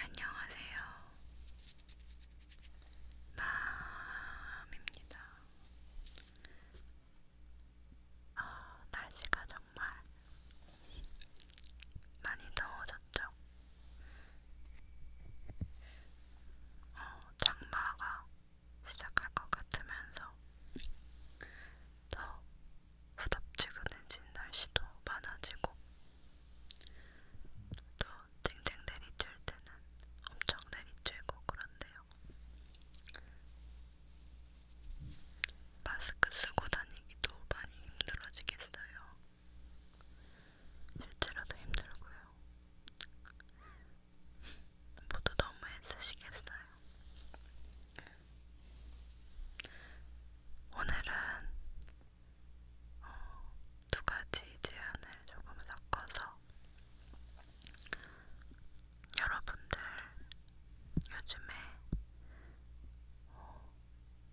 안녕하세요. 마음입니다. 아, 날씨가 정말 많이 더워졌죠. 어, 장마가 시작할 것 같으면서 더 후덥지근해진 날씨도 많아지고 또 쨍쨍 내리쬐 때는 엄청 내리쬐고 그런데요. 마스크 쓰고 다니기도 많이 힘들어지겠어요. 실제로도 힘들고요. 모두 너무 애쓰시겠어요. 오늘은 어, 두 가지 제안을 조금 섞어서 여러분들 요즘에 어,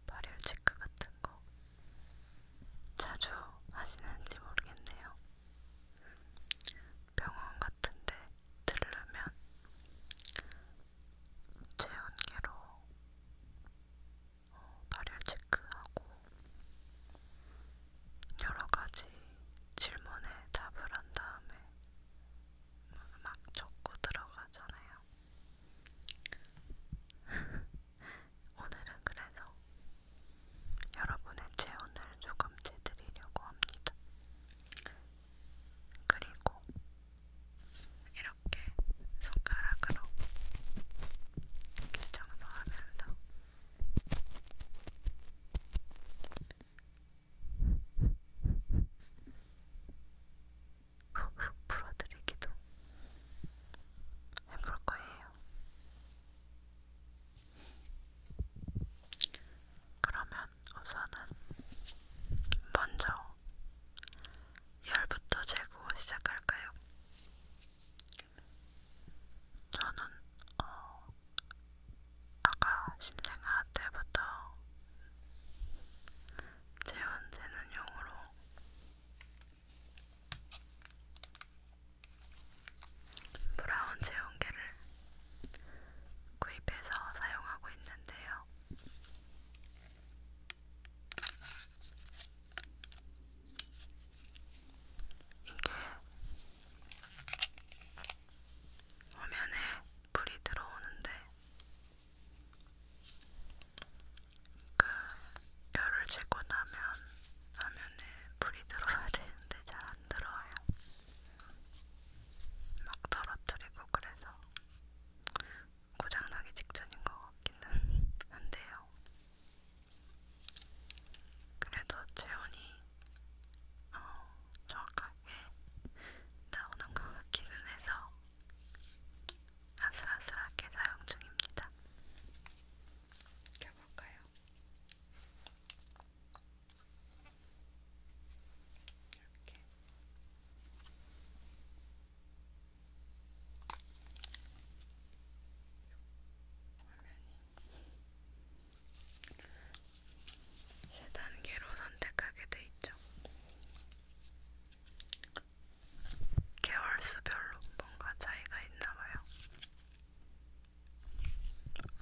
발열 체크 같은 거 자주 하시는지 모르겠네요. 병원 같은데 들르면 체온계로 어, 발열 체크하고 여러 가지 질문에 답을 한 다음에 막 적고 들어가잖아요. 오늘은 그래서 여러분의 체온을 조금 재드리려고 합니다. 그리고 이렇게 손가락으로 교정도 하면서 훅훅 풀어드리기도 해볼 거예요. 그러면 우선은 먼저 열부터 재고 시작할까요? 저는 어, 아까 신생아 때부터 재운 재는 용으로 브라운 제형계를 구입해서 사용하고 있는데요. 이게 화면에 불이 들어오는데 그러니까 열을 재고 나면 화면에 불이 들어야 되는데 잘 안 들어와요. 막 떨어뜨리고 그래서 고장나기 직전인 것 같기는 한데요. 그래도 재온이 어, 정확하게 나오는 것 같기는 해서 아슬아슬하게 사용 중입니다. 껴볼까요? 이렇게. 화면이 세 단계로 선택하게 돼 있죠. 개월수별로 뭔가 차이가 있나봐요.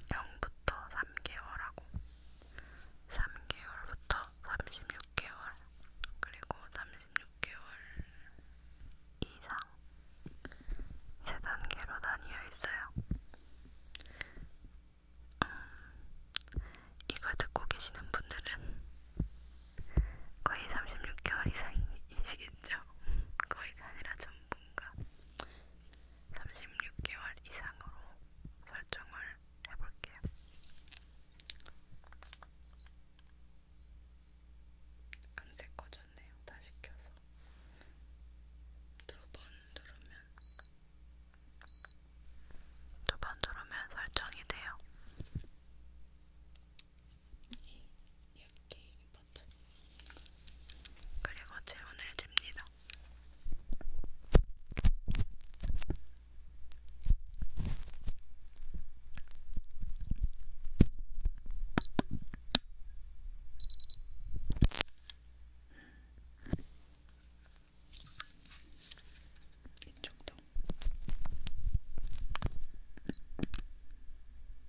0부터 3개월하고 3개월부터 36개월 그리고 36개월 이상 세 단계로 나뉘어 있어요. 음, 이걸 듣고 계시는 분들은 거의 36개월 이상이시겠죠? 거의가 아니라 전부인가? 36개월 이상으로 설정을 해볼게요. 금세 꺼졌네요. 다시 켜서 두 번 누르면 두 번 누르면 설정이 돼요. 이렇게 버튼 그리고 질문을 줍니다. 이쪽도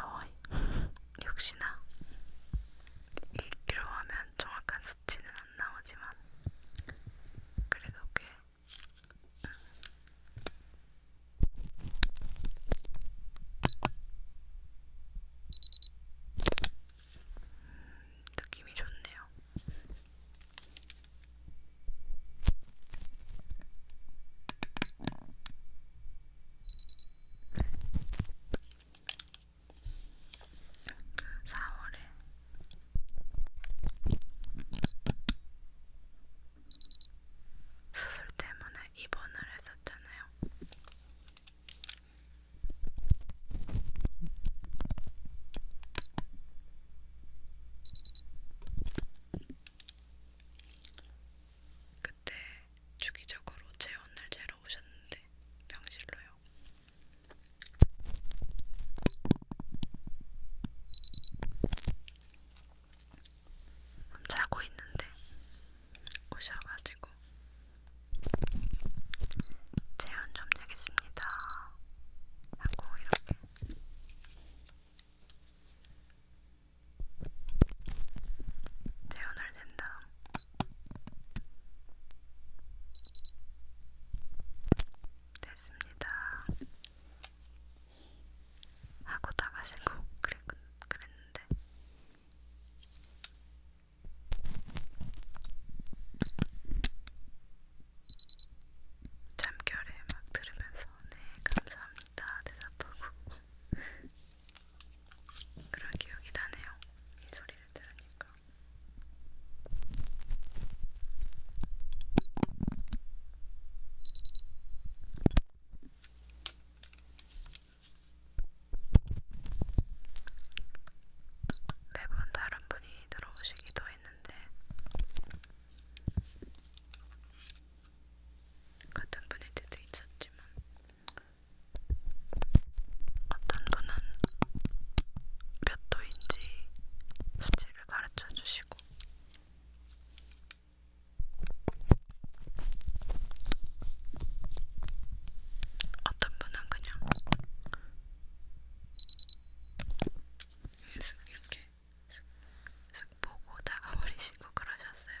어이, 역시나 읽기로 하면 정확한 수치는 안 나오지만 그래도 꽤 응. 음, 느낌이 좋네요. 4월에 수술 때문에 입원을 했었잖아요. 그때 주기적으로 체온을 재러 오셨는데 병실로요. 자고 있는데 오셔가지고 체온 좀 재겠습니다 하고 이렇게 재현을 낸 다음 됐습니다. 하고 나가시고 그랬, 그랬는데 잠결에 막 들으면서 네 감사합니다 대답하고 그런 기억이 나네요. 이 소리를 들으니까. 매번 다른 분이 들어오시기도 했는데 같은 분일 때도 있었지만 어떤 분은 몇 도인지 수치를 가르쳐 주시고 어떤 분은 그냥 계속 이렇게 슥 보고 나가버리시고 그러셨어요.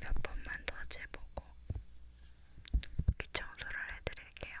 몇 번만 더 재보고 귀 청소를 해드릴게요.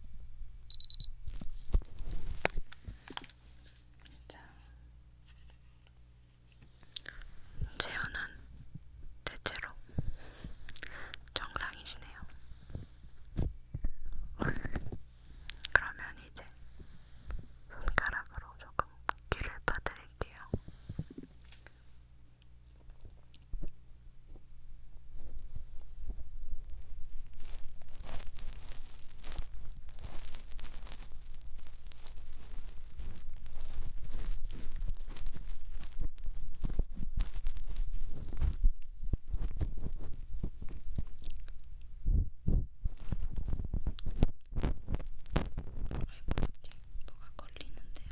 자, 재현은 대체로 정상이시네요. 그러면 이제 손가락으로 조금 귀를 파드릴게요. 아이고, 이게 뭐가 걸리는데요?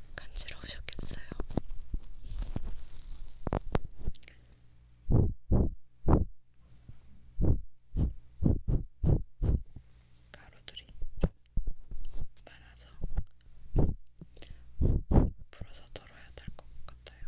간지러우셨겠어요. 가루들이 많아서 풀어서 덜어야 될 것 같아요.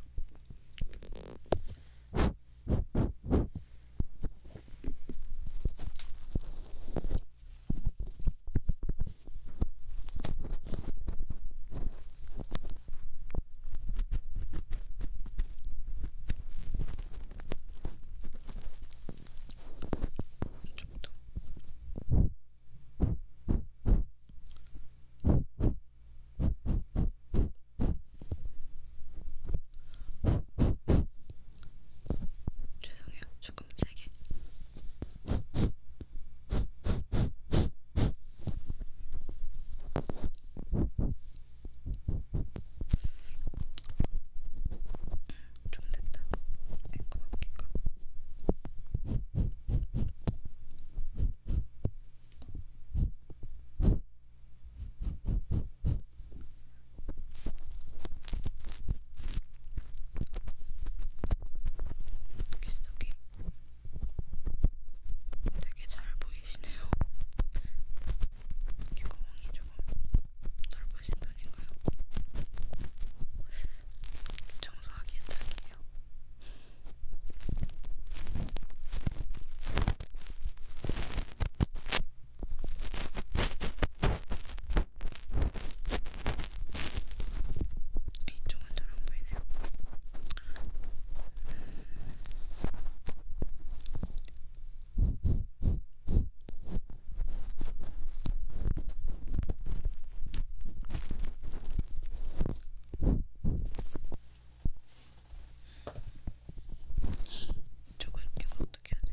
이쪽도 죄송해요. 조금 세게. 좀 됐다. 에코 마키가. 귀속이 되게 잘 보이시네요. 이렇게 구멍이 조금 넓으신 편인가요? 청소하기엔 딱이에요. 이쪽은 잘안 보이네요. 이쪽은 이거 어떻게 해야 돼?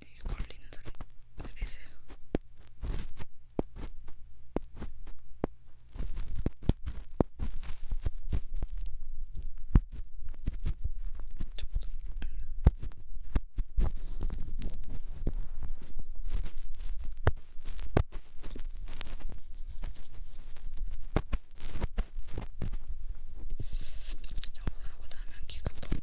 이 걸리는 소리 들리세요? 정화하고 나면 기가 뻥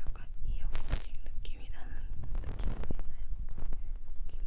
약간 이어코팅 느낌이 나는 느낌도 있나요? 귀막힘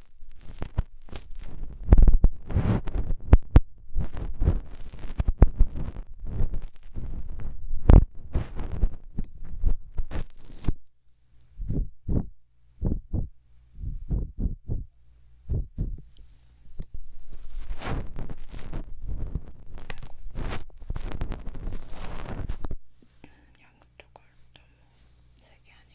음, 양쪽을 너무 세게 하니까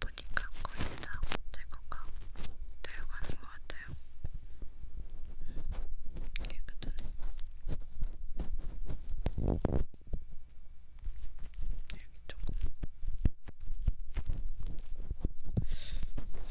보니까 거의 다 될것같 되어 가는 것 같아요. 깨끗하네. 음, 여기 조금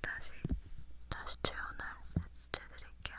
다시 다시 재현을 해체 드릴게요.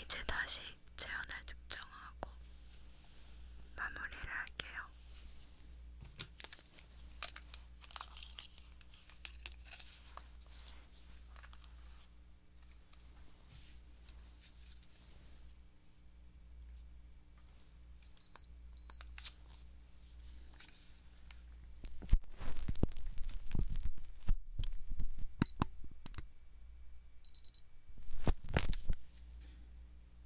이제 다시 체온을 측정하고 마무리를 할게요.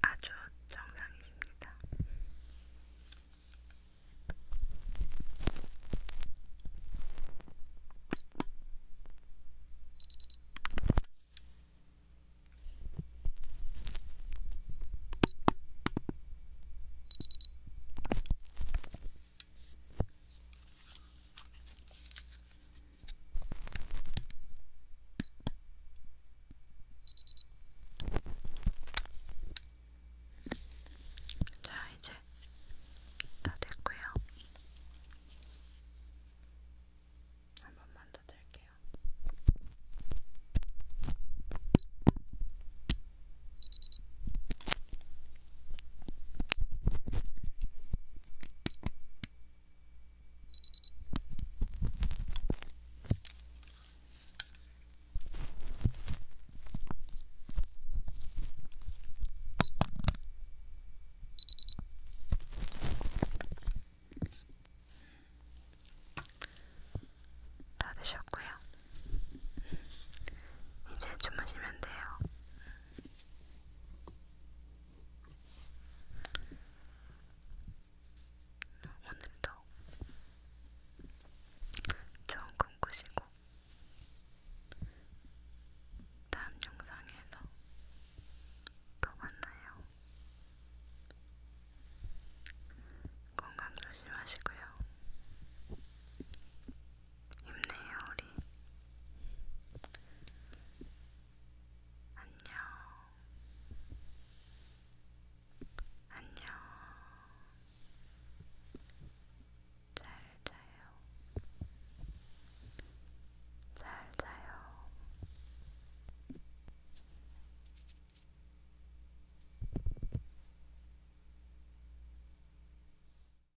아주 정상이십니다. 자, 이제 다 됐고요. 한 번만 더 들게요. 다 드셨고요. 이제 주무시면 돼요. 오늘도 좋은 꿈 꾸시고 다음 영상에서 또 만나요. 건강 조심하시고요. 힘내요 우리 안녕 안녕 잘 자요 잘 자요